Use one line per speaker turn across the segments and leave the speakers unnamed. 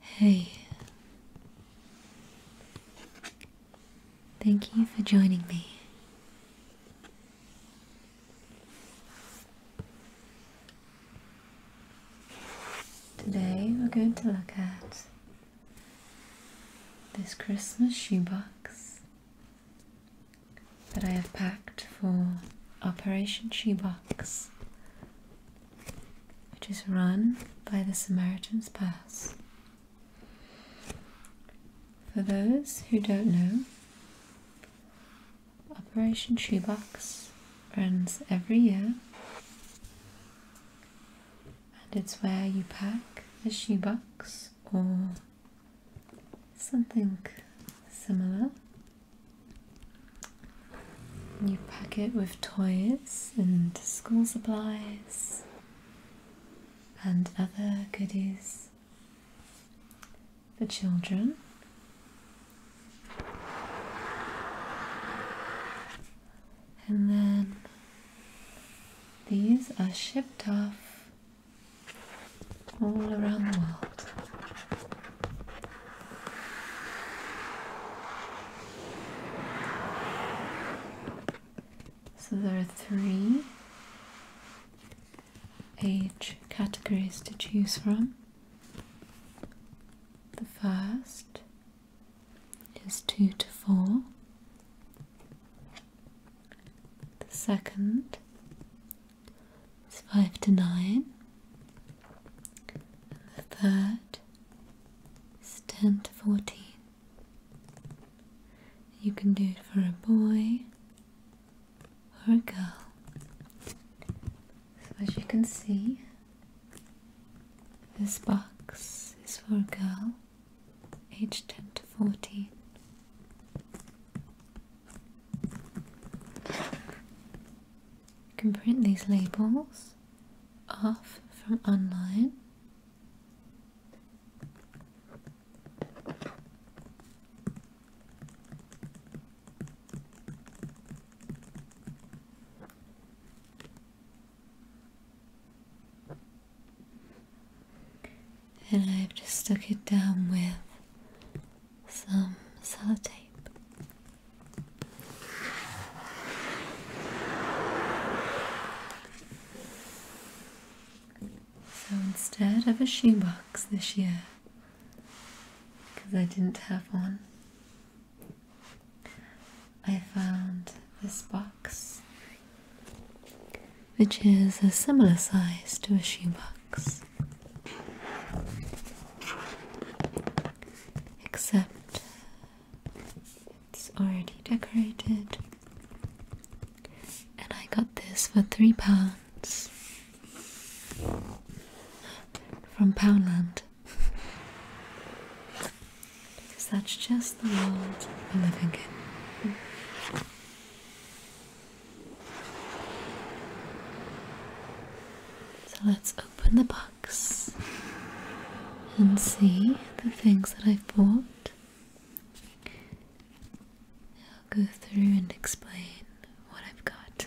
Hey. Thank you for joining me. Today we're going to look at this Christmas shoebox that I have packed for Operation Shoebox, which is run by the Samaritan's Purse. For those who don't know, Operation Shoebox runs every year and it's where you pack a shoebox or something similar. You pack it with toys and school supplies and other goodies the children. And then these are shipped off all around the world. So there are three age categories to choose from. The first is two to four, the second is five to nine, and the third is ten to fourteen. You can do it for a boy or a girl. So as you can see, this box is for a girl aged 10 to 14. You can print these labels off from online. And I've just stuck it down with some sellotape. So instead of a shoebox this year, because I didn't have one. I found this box, which is a similar size to a shoebox, except it's already decorated, and I got this for three pounds from Poundland. because that's just the world we're living in. So let's open the box and see the things that I've bought. I'll go through and explain what I've got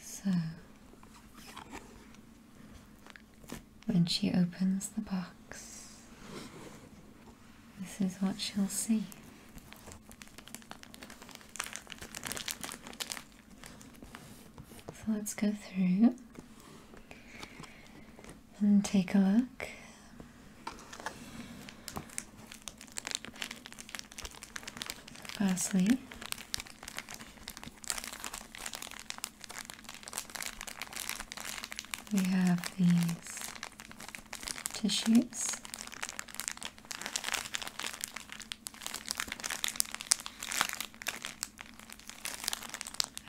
So, when she opens the box, this is what she'll see. So let's go through and take a look. Lastly, we have these tissues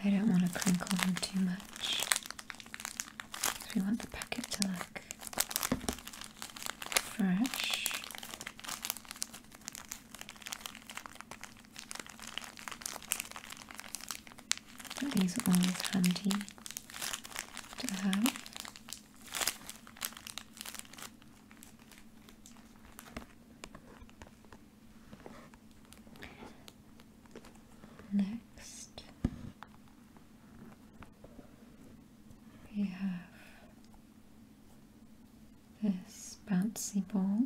I don't want to crinkle them too much we want the packet to look fresh these are always handy to have. Next, we have this bouncy ball.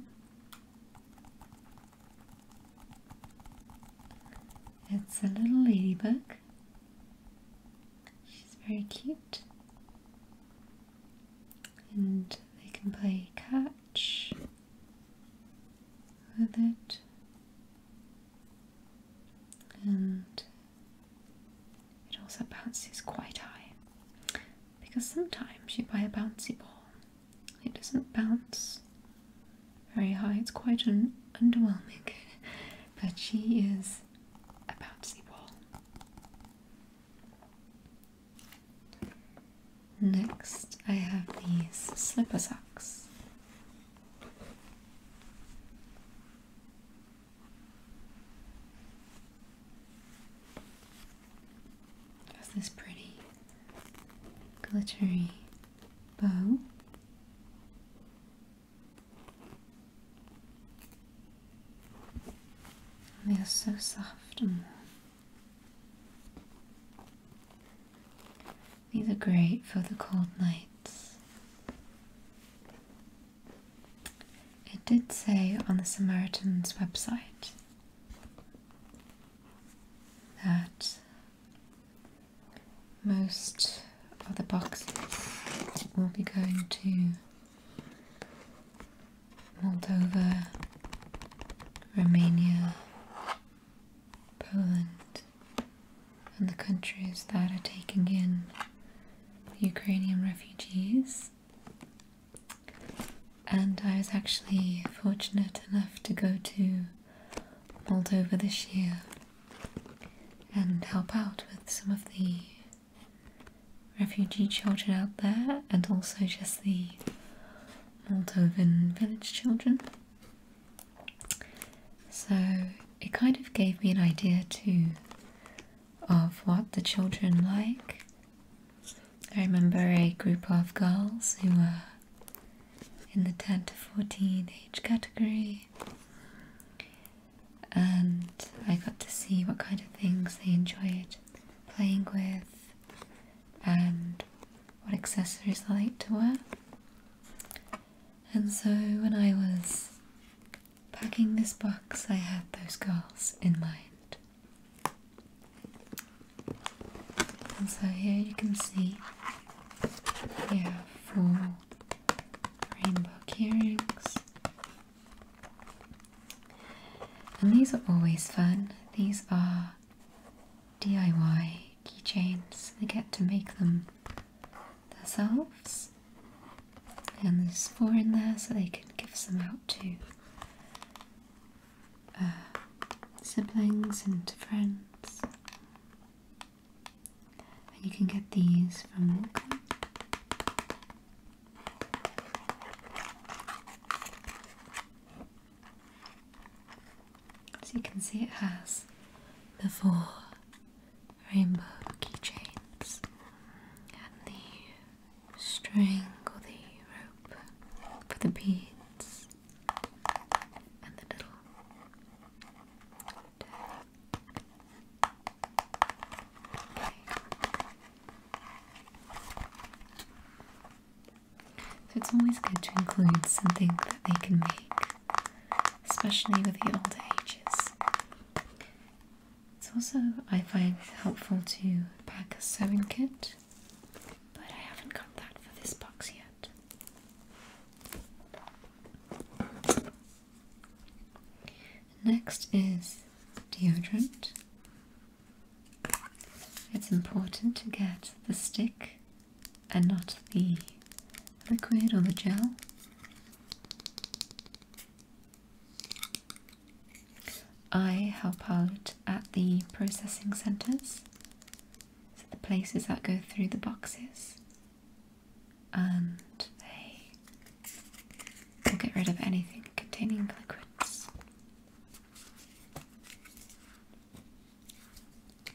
It's a little ladybug. She's very cute. And they can play catch with it. And it also bounces quite high because sometimes you buy a bouncy ball, it doesn't bounce very high, it's quite an underwhelming, but she is a bouncy ball. Next, I have these slipper socks. Has this pretty glittery bow. They are so soft and warm. These are great for the cold nights. It did say on the Samaritan's website that most of the boxes will be going to Moldova, Romania, Poland, and the countries that are taking in Ukrainian refugees. And I was actually fortunate enough to go to Moldova this year and help out with some of the refugee children out there and also just the Moldovan village children. So it kind of gave me an idea to of what the children like. I remember a group of girls who were in the 10 to 14 age category, and I got to see what kind of things they enjoyed playing with and what accessories they like to wear. And so when I was Packing this box, I had those girls in mind. And so here you can see here are four rainbow earrings. And these are always fun. These are DIY keychains. They get to make them themselves. And there's four in there, so they can give some out to uh, siblings and friends. And you can get these from Walker. So you can see it has the four rainbow keychains and the strangle the rope for the beads and the little So it's always good to include something that they can make, especially with the older ages. It's also, I find helpful to pack a sewing kit, but I haven't got that for this box yet. Next is deodorant. It's important to get the stick and not the liquid or the gel. I help out at the processing centres, so the places that go through the boxes, and they get rid of anything containing liquids.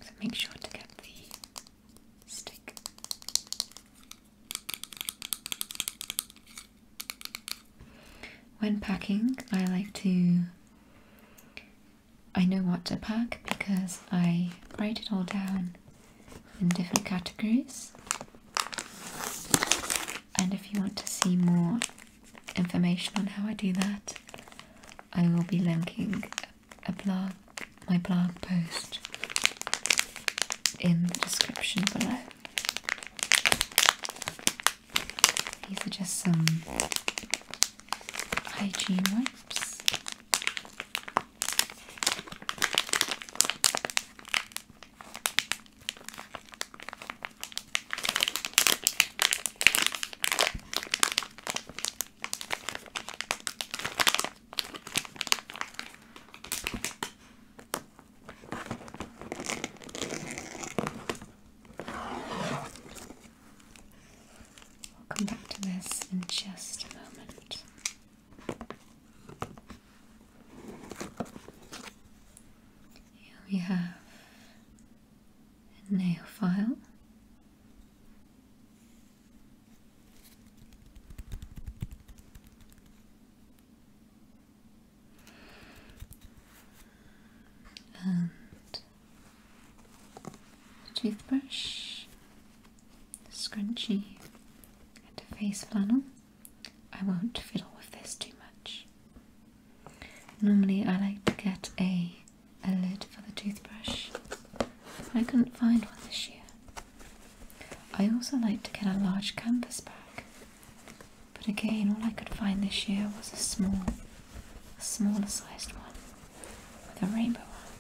So make sure to get the stick. When packing, I like to. I know what to pack because I write it all down in different categories. And if you want to see more information on how I do that, I will be linking a blog, my blog post in the description below. These are just some hygiene wipes we come back to this in just a moment. Here we have a nail file a toothbrush, a scrunchie, and a face flannel. I won't fiddle with this too much. Normally, I like to get a a lid for the toothbrush. I couldn't find one this year. I also like to get a large canvas bag but again, all I could find this year was a small, a smaller sized one with a rainbow on.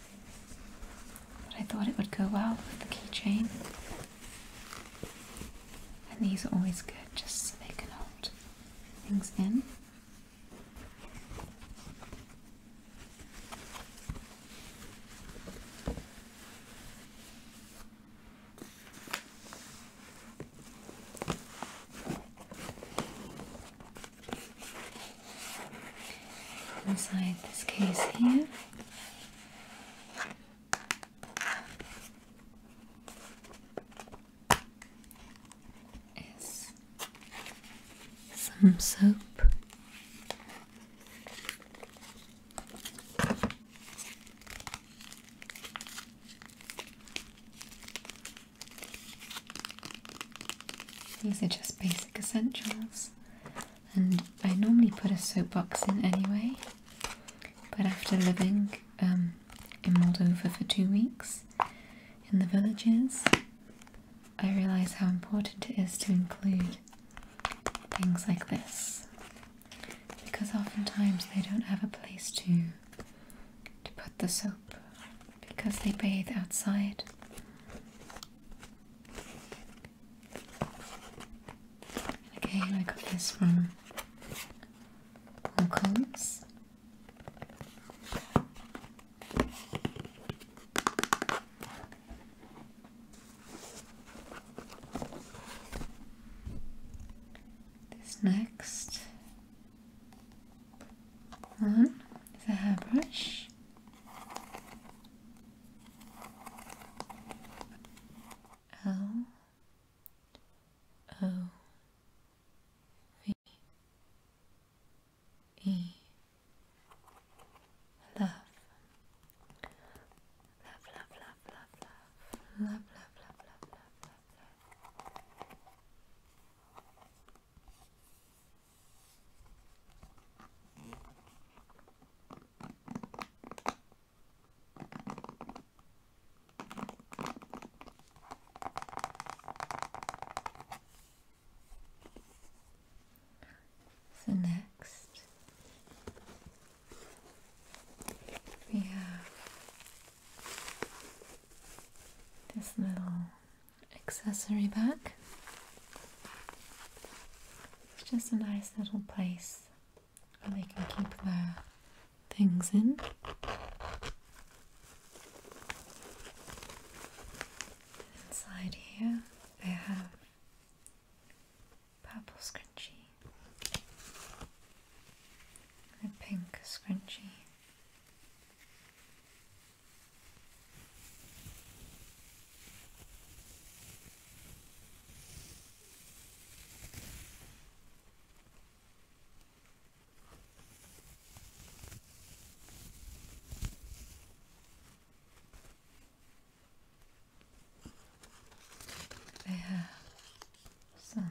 But I thought it would go well with the keychain. And these are always good just so they can hold things in. Inside this case here. Is some soap these are just basic essentials, and I normally put a soap box in anyway. But after living um, in Moldova for two weeks in the villages, I realize how important it is to include things like this because oftentimes they don't have a place to to put the soap because they bathe outside. And I got this from Holcombs. This next one is a hairbrush. L O V E love love love love love, love, love, love, love, love, love, love, love, love. So next we have this little accessory bag. It's just a nice little place where they can keep their things in. Inside here, they have purple scrunchie a pink scrunchie. They have some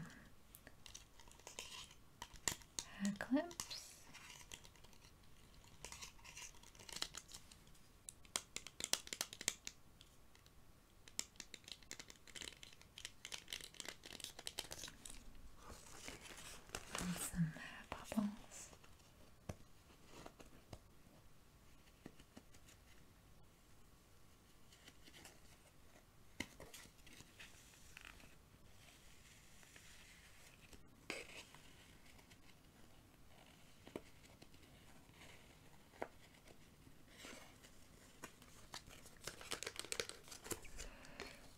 hair clips. some hair bubbles.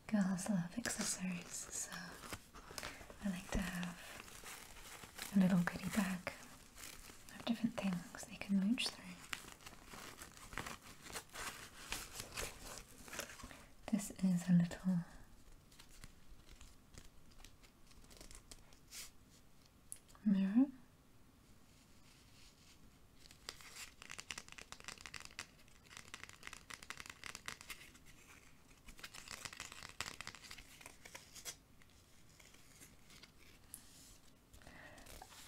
Girls love accessories, so I like to have a little goodie bag of different things they can mooch through. This is a little mirror.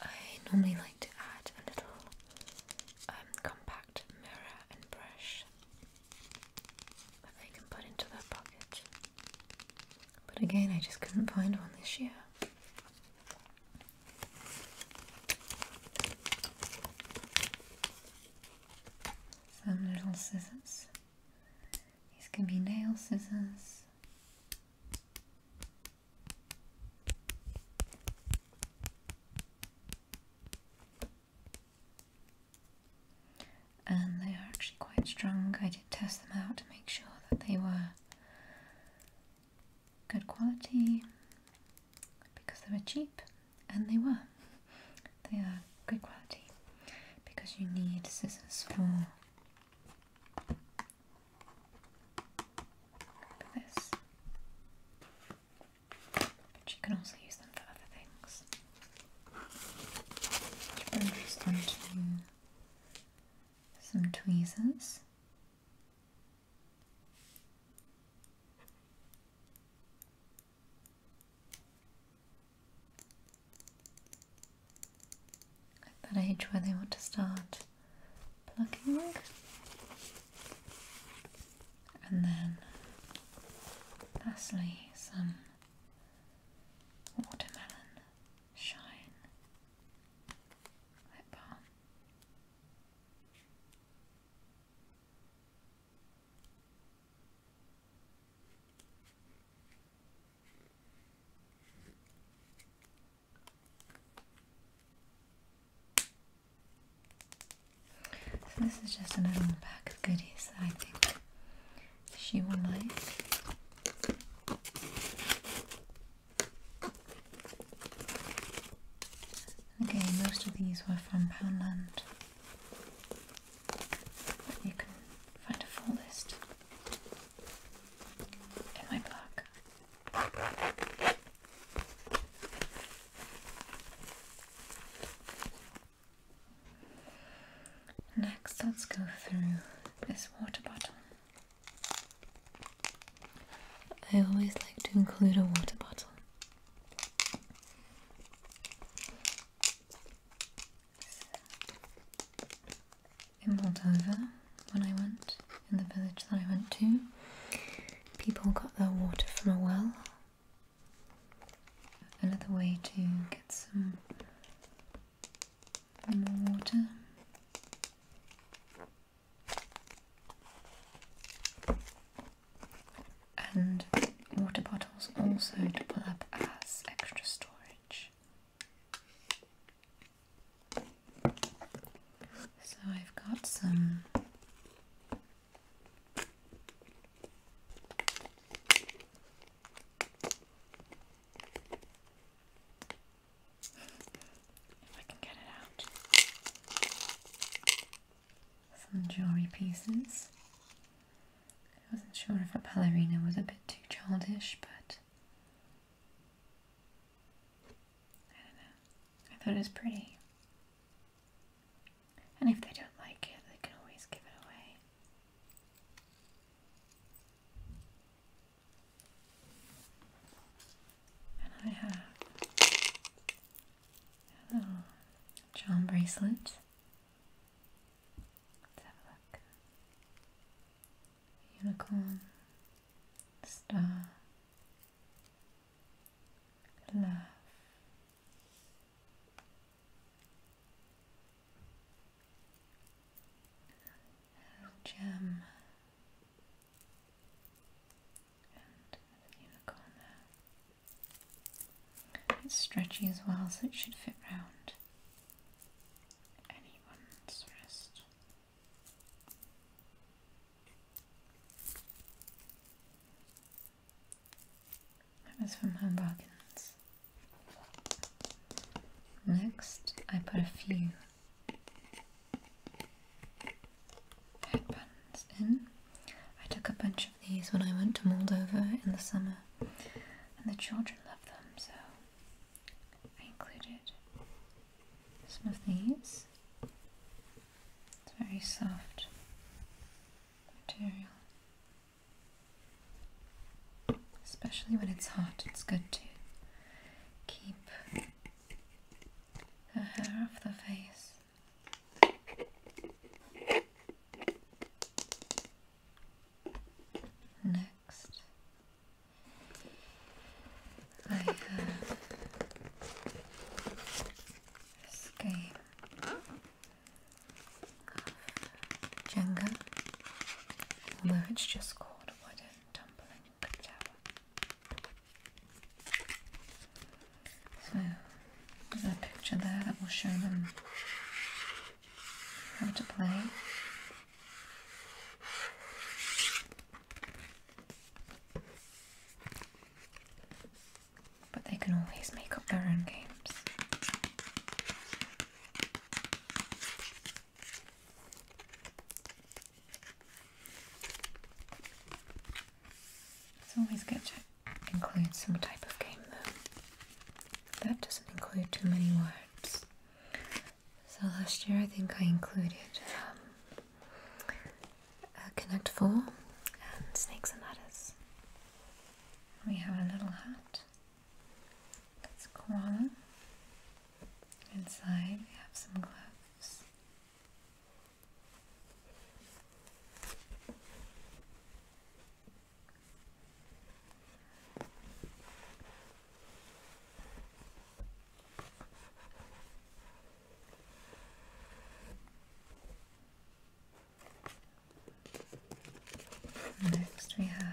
I normally like to add a little um, compact mirror and brush that they can put into their pocket. But again, I just couldn't find one this year. Some little scissors. These can be nail scissors. And they are actually quite strong. I did test them out to make sure that they were good quality because they were cheap, and they were. They are good quality because you need scissors for this. But you can also use them for other things. Bring this onto some tweezers. At that age where they want to start plucking and then lastly some watermelon shine lip balm. So this is just another little pack of goodies that I think she will like. Okay, most of these were from Poundland. you can find a full list in my blog. Next, let's go through this water bottle. I always like to include a water bottle. In over when I want in the village that I went to. People got their water from a well. Another way to get some water. And water bottles also double up as extra storage. So I've got some if I can get it out. Some jewelry pieces. I wasn't sure if a ballerina was a bit too childish, but I don't know. I thought it was pretty. And if they don't like it, they can always give it away. And I have a charm bracelet. Let's have a look. Unicorn, star, love. gem and unicorn It's stretchy as well, so it should fit round anyone's wrist. That from Home Bargains. Next, I put a few headbands in. I took a bunch of these when I went to Moldova in the summer, and the children loved them, so I included some of these. It's very soft material. Especially when it's hot, it's good to keep the hair off the face. Next, I have this game of Jenga, although it's just called Wooden Tumbling Tower. So there's a picture there that will show them how to play. But they can always make up their own games. It's always good to include some type of game though. That doesn't include too many words. So last year I think I included um, Connect Four, and Snakes and Ladders. We have a little hat. That's a koala. Inside we have some gloves. Next we have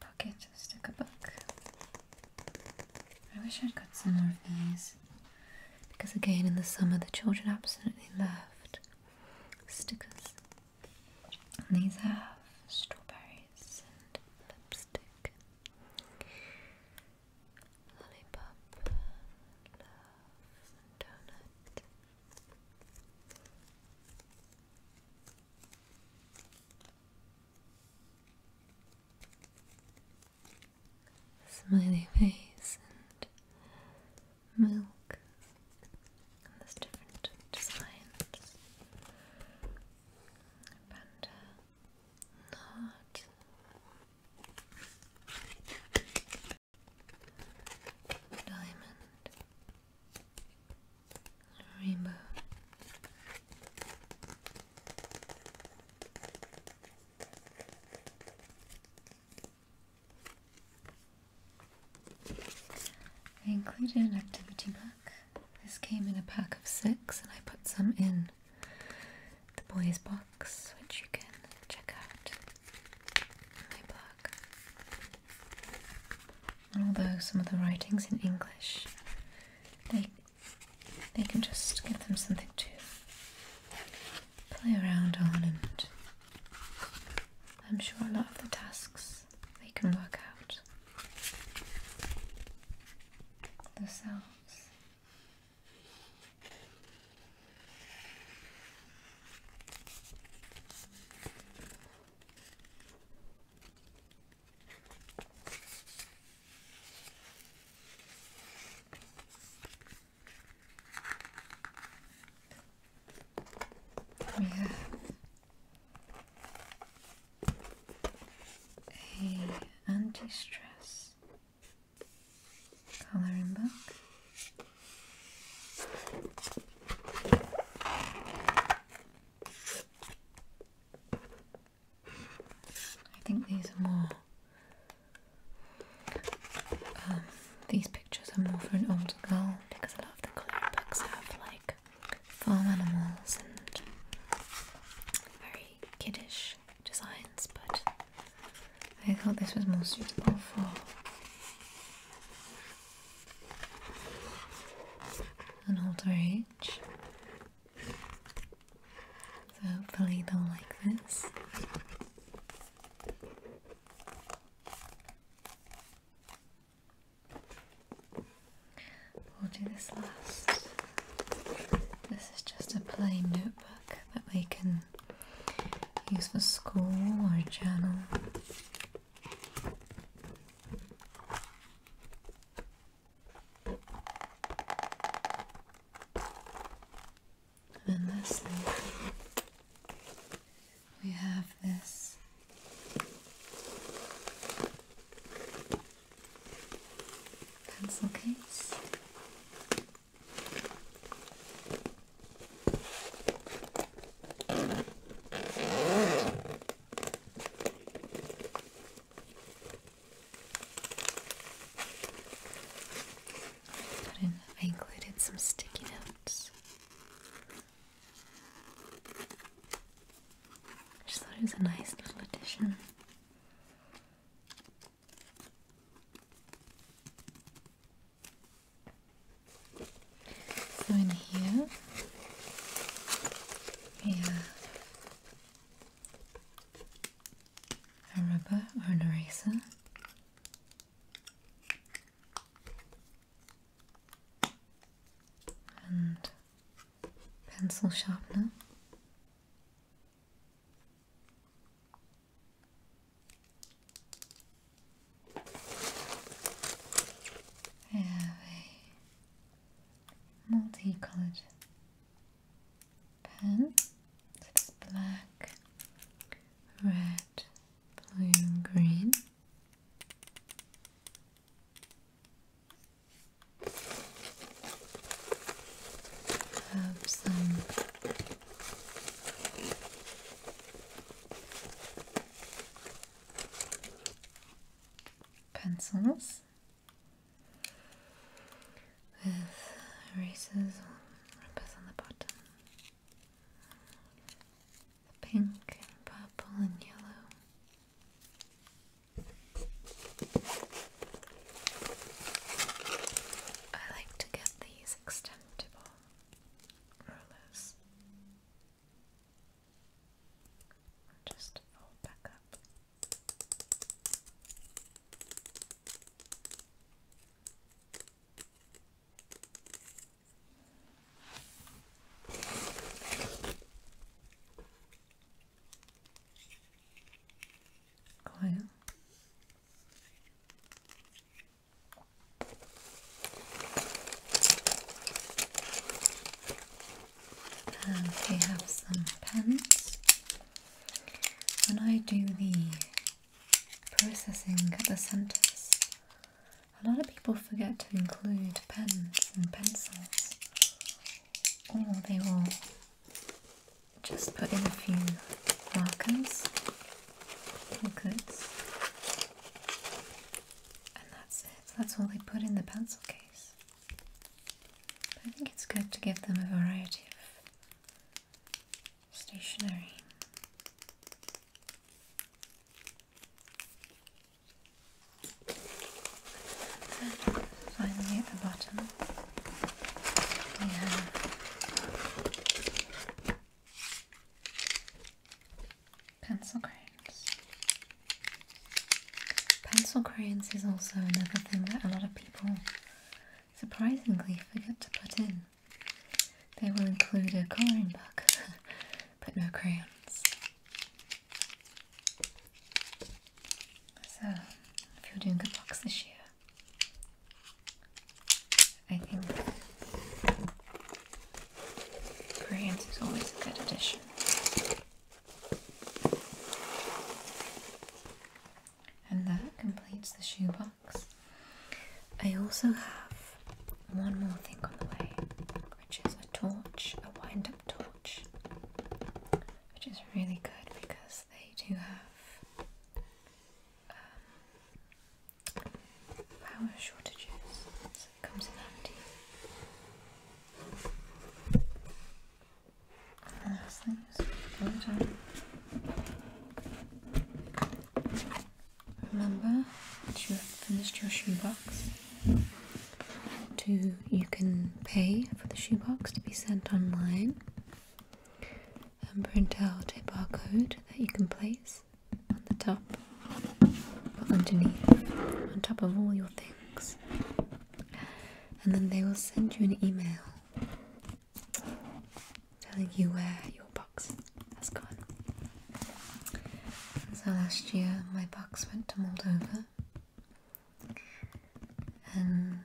pocket sticker book. I wish I'd got some more of these because again in the summer the children absolutely loved stickers. And these have strawberries and lipstick. Lollipop, donut. Smiley face milk. And there's different designs. Panda not diamond rainbow I included an activity book. This came in a pack of six, and I put some in the boys box, which you can check out on my blog. And although some of the writing's in English, they they can just give them something to play around on and I'm sure a lot of the tasks they can work out themselves. We have a anti-stress coloring book. I think these are more. Um, these pictures are more for an older girl because a lot of the coloring books have like farm animals and very kiddish designs, but I thought this was more suitable for an older age. So hopefully they'll like this. We'll do this last. This is just a plain notebook that we can use for school or a journal. And then we have this pencil case. Put in, I included some sticky notes. I just thought it was a nice little addition. So in here we a rubber or an eraser. And pencil sharpener I have multicolored pen. It's black, red, blue, green have some pencils with erasers on the bottom. The pink and purple and yellow. I like to get these extendable rulers. Just fold back up. And we have some pens. When I do the processing at the centres, a lot of people forget to include pens and pencils, or they will just put in a few markers or and that's it. That's all they put in the pencil case. I think it's good to give them a variety of stationery. And finally, at the bottom. We have pencil crayons. Pencil crayons is also another thing that a lot of people surprisingly forget to put in. They will include a colouring book, but no crayons. So, if you're doing a box this year, I think Koreans is always a good addition. And that completes the shoebox. I also have one more thing on the way, which is a torch, a wind up torch, which is really good because they do have um, power shortages, so it comes in handy. last thing is water. Remember that you have finished your shoebox. To you can pay for the shoebox to be sent online and print out a barcode that you can place on the top or underneath, on top of all your things. And then they will send you an email telling you where your box has gone. So last year my box went to Moldova and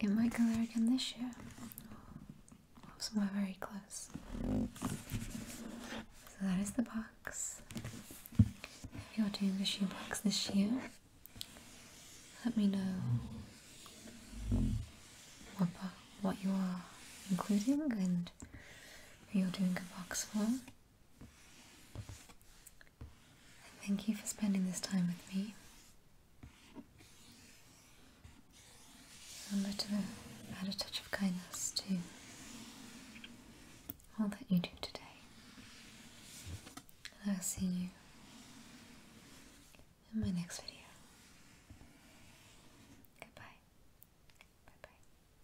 it might go there again this year. Oh, we're very close. So that is the box. If you're doing the shoebox this year, let me know what, what you are including and who you're doing a box for. thank you for spending this time with me. I'm Remember to add a touch of kindness to all that you do today. I'll see you in my next video. Goodbye. Bye bye.